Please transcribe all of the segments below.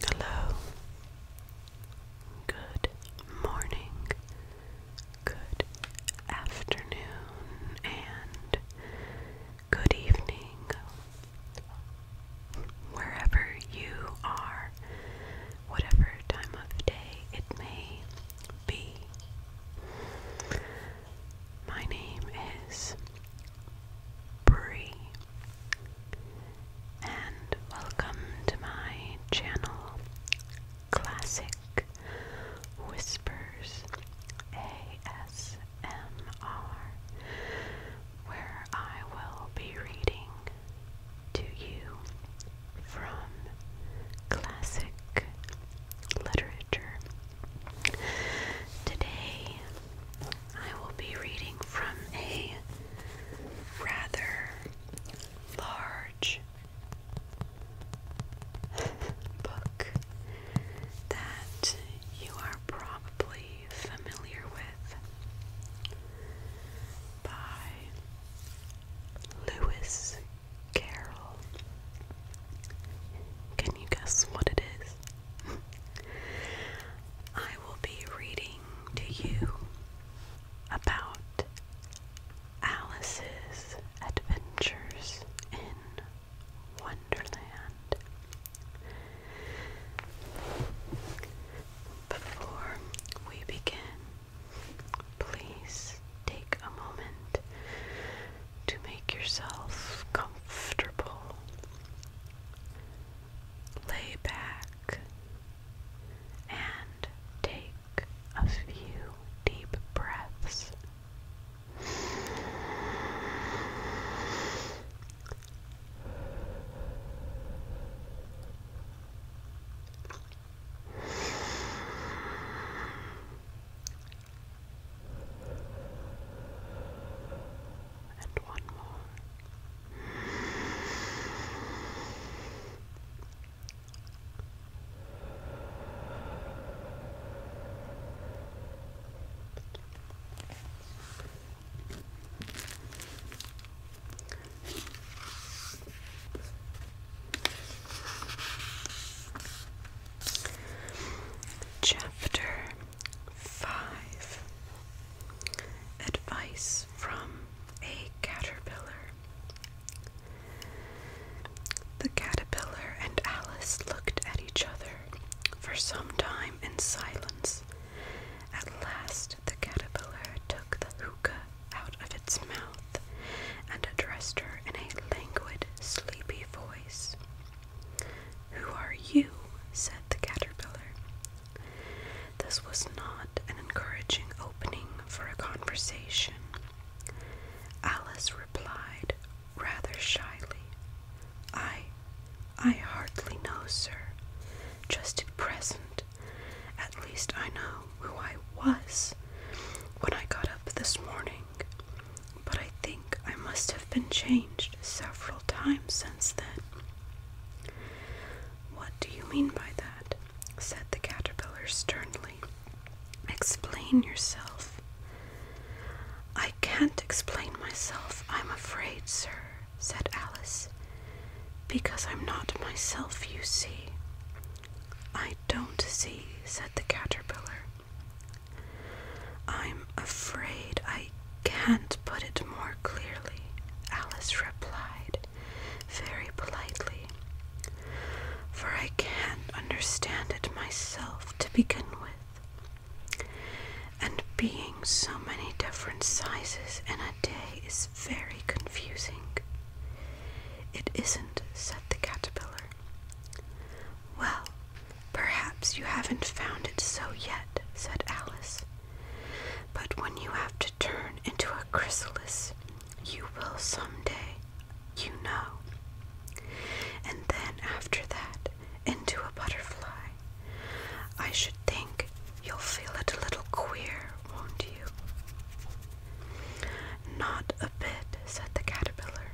Hello. Good morning. Good afternoon and good evening. Wherever you are, whatever time of day it may be. My name is Bree and welcome to my channel Classic Whispers ASMR, where I will be reading to you from classic literature. Today I will be reading from a rather large book that you are probably familiar with by Lewis Carroll. Can you guess what it is? I will be reading to you about Alice's adventures in Wonderland. Before we begin, please take a moment to make yourself comfortable. Lay back and take a few deep breaths and one more. Chapter Five Advice from a Caterpillar. The caterpillar and Alice looked at each other for some time in silence. At last, the caterpillar took the hookah out of its mouth and addressed her in a languid, sleepy voice. Who are you? said the caterpillar. This was not an encouraging opening for a conversation. Alice replied rather shyly, I, I hardly know, sir. Just at present, at least I know who I was when I got up this morning, but I think I must have been changed several Time since then. What do you mean by that? said the caterpillar sternly. Explain yourself. I can't explain myself, I'm afraid, sir, said Alice, because I'm not myself, you see. I don't see, said the caterpillar. I I'm afraid I can't put it more clearly, Alice replied very politely, for I can't understand it myself to begin with. And being so many different sizes in a day is very confusing. It isn't, said the caterpillar. Well, Perhaps you haven't found it so yet, said Alice. But when you have to turn into a chrysalis, you will some day, you know. And then after that, into a butterfly. I should think you'll feel it a little queer, won't you? Not a bit, said the caterpillar.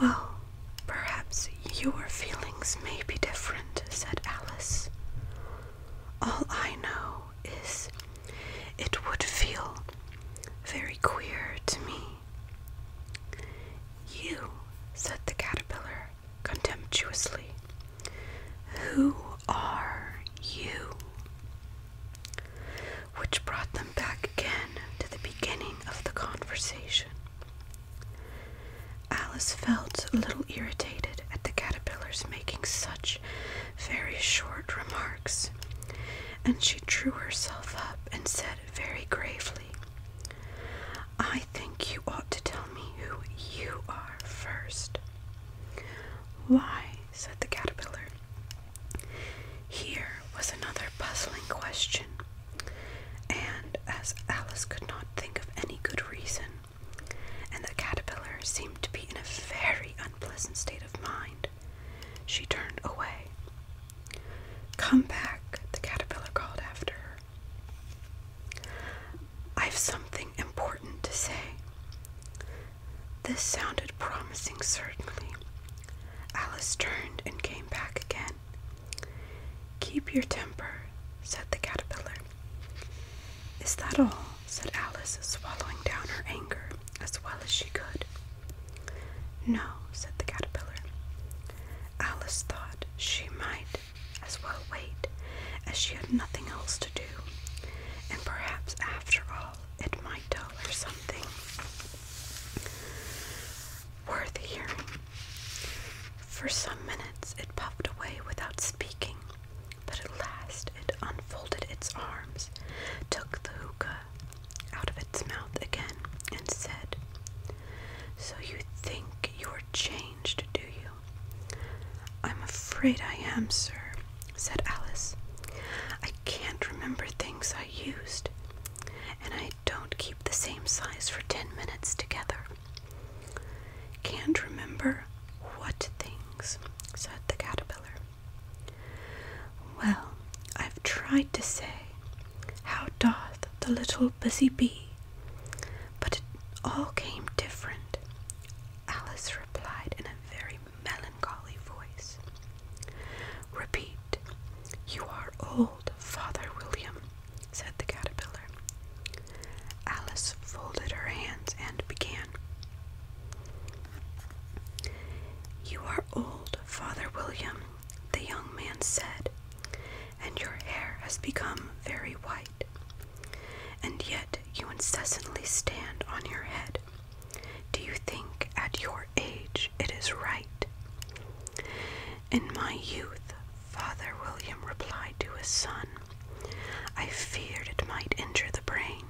Well, Perhaps your feelings may be different, said Alice. All I know is it would feel very queer to me. You, said the caterpillar contemptuously, who are you? Which brought them back again to the beginning of the conversation. Alice felt a little irritated at the caterpillars making such very short remarks, and she drew herself up and said very gravely, I think you ought to tell me who you are first." Why? said the caterpillar. Here was another puzzling question. And as Alice could not think of any good reason, and the caterpillar seemed to be in a very unpleasant state of mind, she turned away. Come back, the caterpillar called after her. I've something important to say. This sounded promising, certainly. Alice turned and came back again. Keep your temper, said the caterpillar. Is that all? said Alice, swallowing down her anger as well as she could. No, said the caterpillar. Alice thought she might as well wait, as she had nothing else to do, and perhaps after all it might tell her something worth hearing. For some minutes it puffed away without speaking, but at last it unfolded its arms, took the hookah out of its mouth again, and said, So you think you're changed, do you? I'm afraid I am, sir, said Alice. I can't remember things I used, and I don't keep the same size for ten minutes together. Can't remember what things, said the caterpillar. Well, I've tried to say, How doth the little busy bee? But it all came different, Alice replied in a very melancholy voice. Repeat, you are old old, Father William, said the caterpillar. Alice folded her hands and began. You are old, Father William, the young man said, and your hair has become very white. And yet you incessantly stand on your head. Do you think at your age it is right? In my youth, Father William replied to his son, I feared it might injure the brain.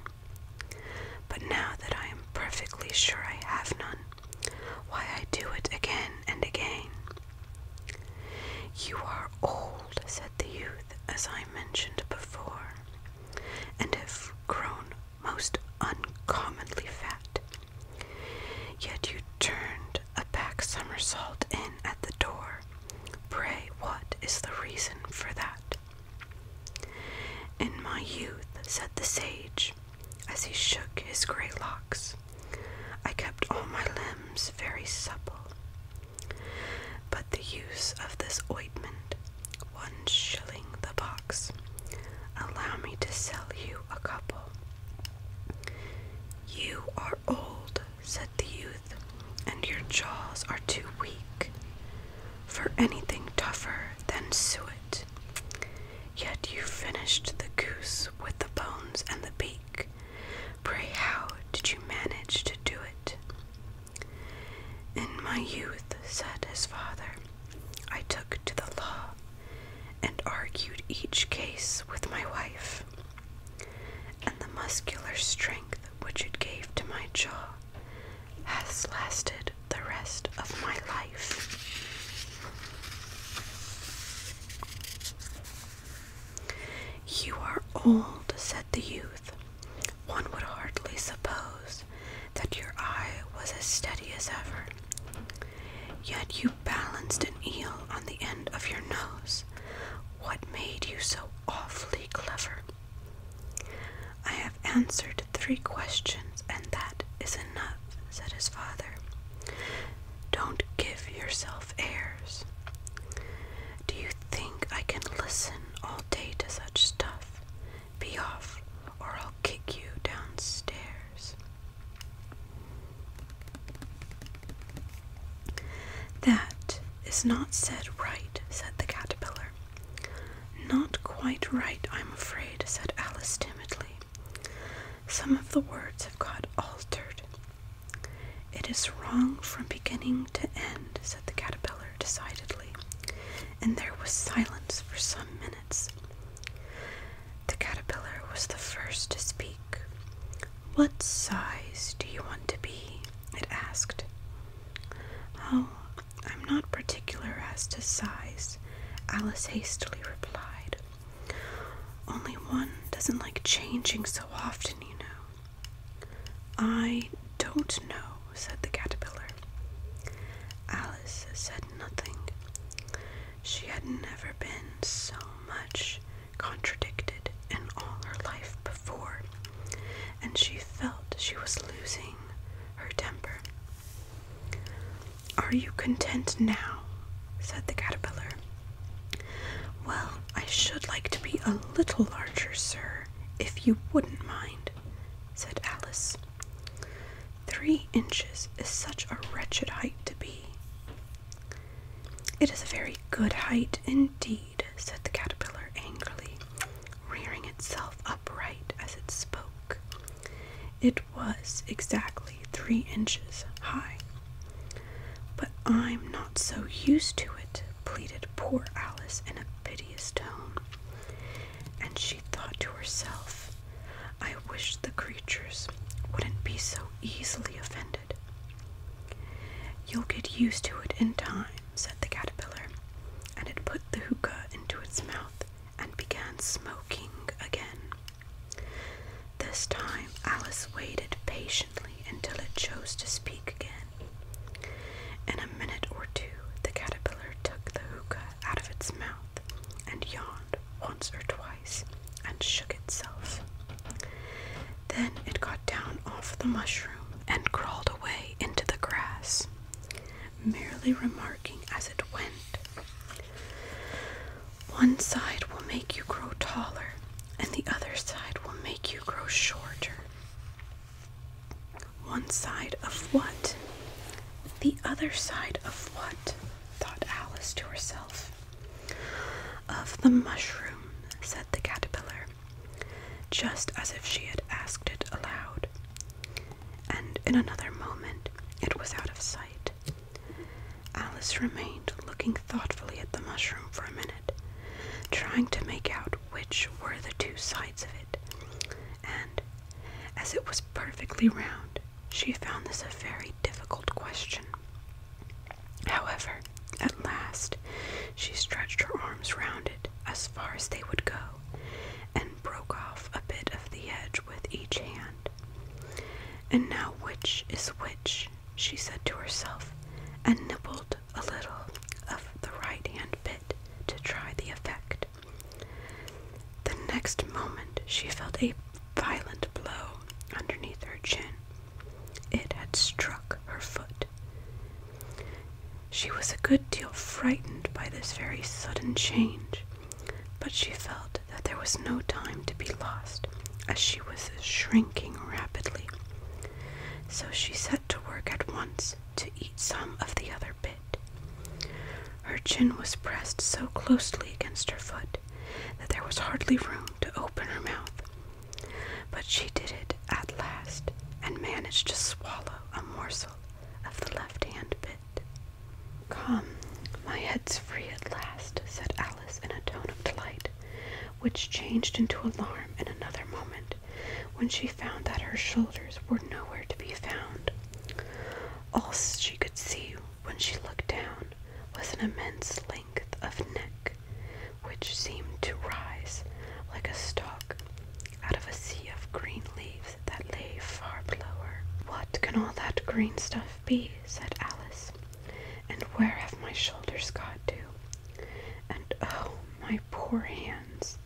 But now that I am perfectly sure I have none, why I do it again and again. You are old, said the youth, as I mentioned before, and have grown most uncommonly fat. Yet you turned a back somersault in at the door. Pray, what is the reason for that? In my youth, said the sage, as he shook his grey locks, I kept all my limbs very supple. But the use of this ointment, one shilling the box, allow me to sell you a couple. You are old, said the youth, and your jaws are too weak for anything tougher than suet. Yet you finished the goose with the bones and the beak. Pray, how did you manage to do it? In my youth, said his father, I took to the law and argued each case with my wife and the muscular strength which it gave to my jaw has lasted the rest of my life. You are old, said the youth. One would hardly suppose that your eye was as steady as ever. Yet you balanced an eel on the end of your nose. What made you so awfully clever? I have answered three questions, and that is enough, said his father. Don't give yourself airs. Do you think I can listen all day to such stuff? Be off, or I'll kick you downstairs. That is not said right, said the caterpillar. Not quite right, I'm afraid, said Alice timidly. Some of the words have got altered. It is wrong from beginning to end, said the caterpillar decidedly, and there was silence for some minutes. The caterpillar was the first to speak. What size do you want to be? It asked. Oh, I'm not particular as to size, Alice hastily replied. Only one doesn't like changing so often, you know. I don't know, said the caterpillar. Alice said nothing. She had never been so much contradicted in all her life before, and she felt she was losing her temper. Are you content now? said the caterpillar. Well, I should like to be a little larger, sir, if you wouldn't mind, said Alice. Three inches is such a wretched height to be. It is a very good height indeed, said the caterpillar angrily, rearing itself upright as it spoke. It was exactly three inches high. But I'm not so used to it, pleaded poor Alice in a piteous tone. And she thought to herself, I wish the creatures wouldn't be so easily offended. You'll get used to it in time, said the caterpillar, and it put the hookah into its mouth and began smoking again. This time Alice waited patiently until it chose to speak again. In a minute or two, the caterpillar took the hookah out of its mouth and yawned once or twice and shook itself. Then it got down off the mushroom and crawled away into the grass, merely remarking as it went, One side will make you grow taller, and the other side will make you grow shorter. One side of what? The other side of what? thought Alice to herself. Of the mushroom, said the caterpillar, just as if she had asked it aloud. And in another moment it was out of sight. Alice remained looking thoughtfully at the mushroom for a minute, trying to make out which were the two sides of it. And as it was perfectly round, she found this a very difficult question. However, at last she stretched her arms round it as far as they would go, and broke off a bit of the edge with each hand. And now which is which? she said to herself, and nibbled a little of the right hand bit to try the effect. The next moment she felt a violent blow underneath her chin. It had struck her foot. She was a good deal frightened by this very sudden change, but she felt that there was no time to be lost, as she was shrinking rapidly. So she set to work at once to eat some of the other bit. Her chin was pressed so closely against her foot that there was hardly room to open her mouth, but she did it at last and managed to swallow a morsel of the left hand bit. Come, my head's free at last, said Alice in a tone of delight, which changed into alarm in another moment when she found that her shoulders were nowhere to be found. All she could see when she looked down was an immense of neck, which seemed to rise like a stalk out of a sea of green leaves that lay far below What can all that green stuff be? said Alice. And where have my shoulders got to? And oh, my poor hands!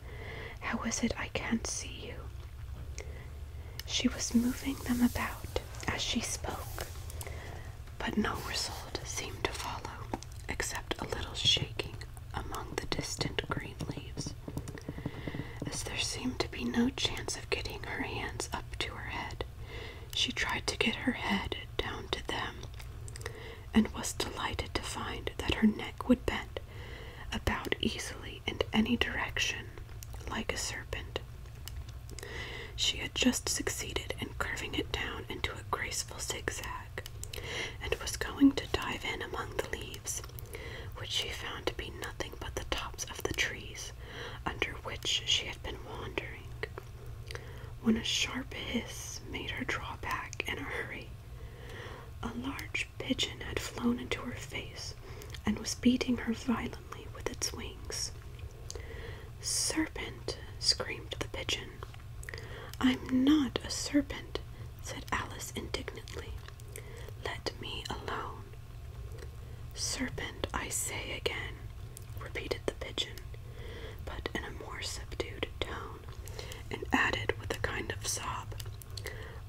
How is it I can't see you? She was moving them about as she spoke but no result seemed to follow, except a little shaking among the distant green leaves, as there seemed to be no chance of getting her hands up to her head. She tried to get her head down to them, and was delighted to find that her neck would bend about easily in any direction, like a serpent. She had just succeeded in curving it down into a graceful zigzag and was going to dive in among the leaves, which she found to be nothing but the tops of the trees under which she had been wandering, when a sharp hiss made her draw back in a hurry. A large pigeon had flown into her face and was beating her violently with its wings. Serpent, screamed the pigeon. I'm not a serpent, said Alice indignantly. Let me alone. Serpent, I say again, repeated the pigeon, but in a more subdued tone, and added with a kind of sob,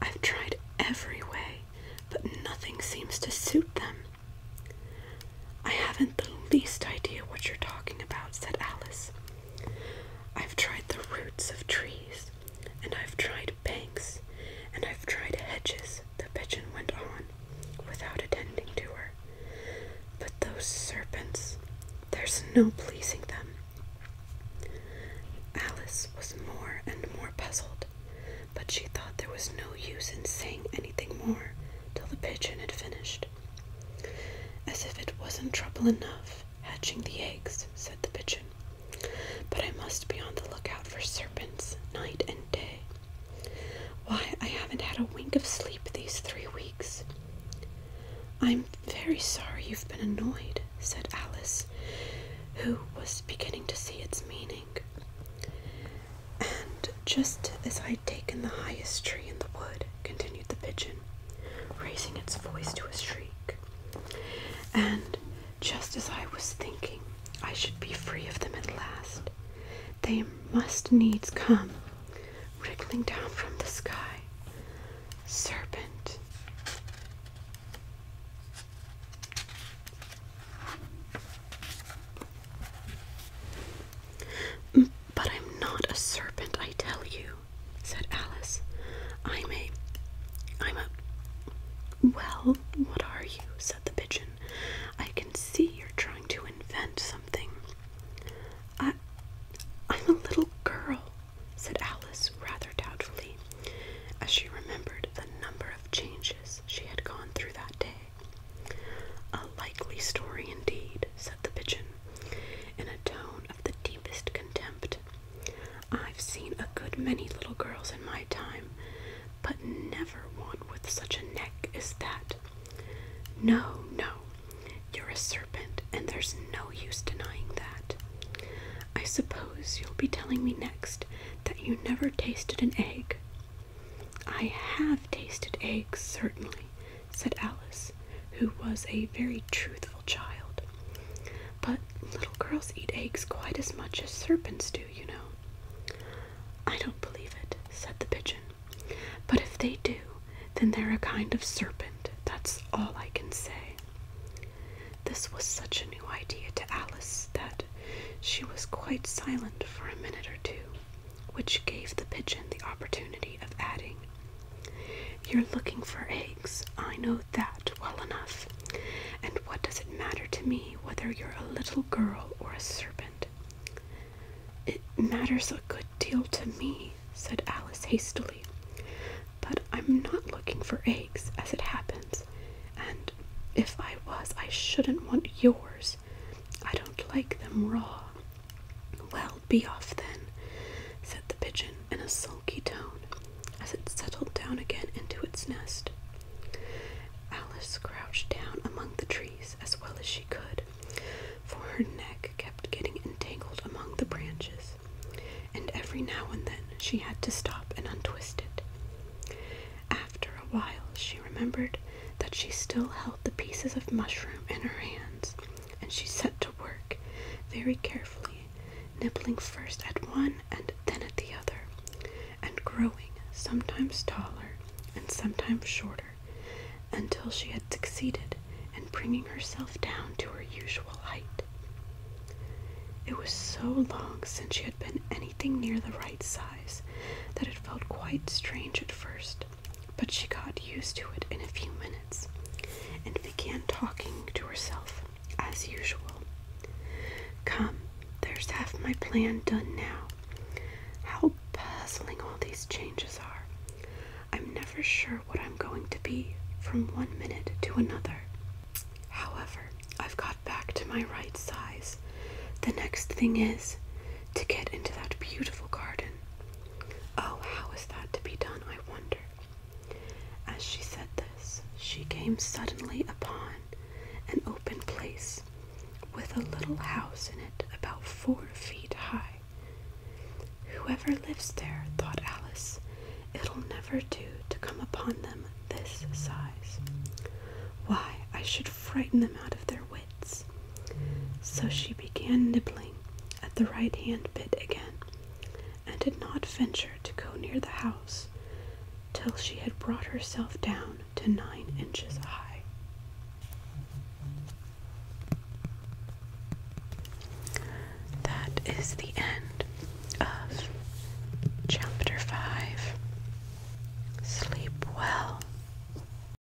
I've tried every way, but nothing seems to suit them. I haven't the least idea what you're talking about, said Alice. I've tried the roots of trees, and I've tried banks, and I've tried hedges, the pigeon went on, without attending to her. But those serpents, there's no pleasing them. Alice was more and more puzzled, but she thought there was no use in saying anything more till the pigeon had finished. As if it wasn't trouble enough hatching the eggs, said the pigeon. But I must be on the lookout for serpents night and day. Why, I haven't had a wink of sleep these three weeks. I'm very sorry you've been annoyed, said Alice, who was beginning to see its meaning. And just as I would taken the highest tree in the wood, continued the pigeon, raising its voice to a shriek, and just as I was thinking I should be free of them at last, they must needs come, wriggling down from the sky, serpent. But I'm not a serpent, I tell you, said Alice. I'm a. I'm a. Well, what are you? said the pigeon. I can see you're trying to invent something. I. I'm a little girl, said Alice rather doubtfully, as she remembered the number of changes she had gone through that day. A likely story indeed, said the pigeon, in a tone of the deepest contempt. I've seen a good many little girls in my time, but never one with such a neck as that. No, no, you're a serpent, and there's no use denying that. I suppose you'll be telling me next that you never tasted an egg. I have tasted eggs, certainly, said Alice, who was a very truthful child. But little girls eat eggs quite as much as serpents do, you know. I don't believe it, said the pigeon. But if they do, then they're a kind of serpent, that's all I can say. This was such a new idea to Alice that she was quite silent for a minute or two which gave the pigeon the opportunity of adding, You're looking for eggs, I know that well enough, and what does it matter to me whether you're a little girl or a serpent? It matters a good deal to me, said Alice hastily, but I'm not looking for eggs, as it happens, and if I was, I shouldn't want yours. I don't like them raw. Well, be off then, said the pigeon in a sulky tone as it settled down again into its nest. Alice crouched down among the trees as well as she could, for her neck kept getting entangled among the branches, and every now and then she had to stop and untwist it. After a while, she remembered that she still held the pieces of mushroom in her hands, and she set to work very carefully, nibbling first at one and then at the other, and growing sometimes taller and sometimes shorter, until she had succeeded in bringing herself down to her usual height. It was so long since she had been anything near the right size that it felt quite strange at first but she got used to it in a few minutes and began talking to herself as usual. Come, there's half my plan done now. How puzzling all these changes are. I'm never sure what I'm going to be from one minute to another. However, I've got back to my right size. The next thing is to get into that beautiful garden Oh, how is that to be done, I wonder? As she said this, she came suddenly upon an open place with a little house in it about four feet high. Whoever lives there, thought Alice, it'll never do to come upon them this size. Why, I should frighten them out of their wits. So she began nibbling at the right hand bit again, and did not venture to go near the house till she had brought herself down to nine inches high. That is the end of chapter 5. Sleep well.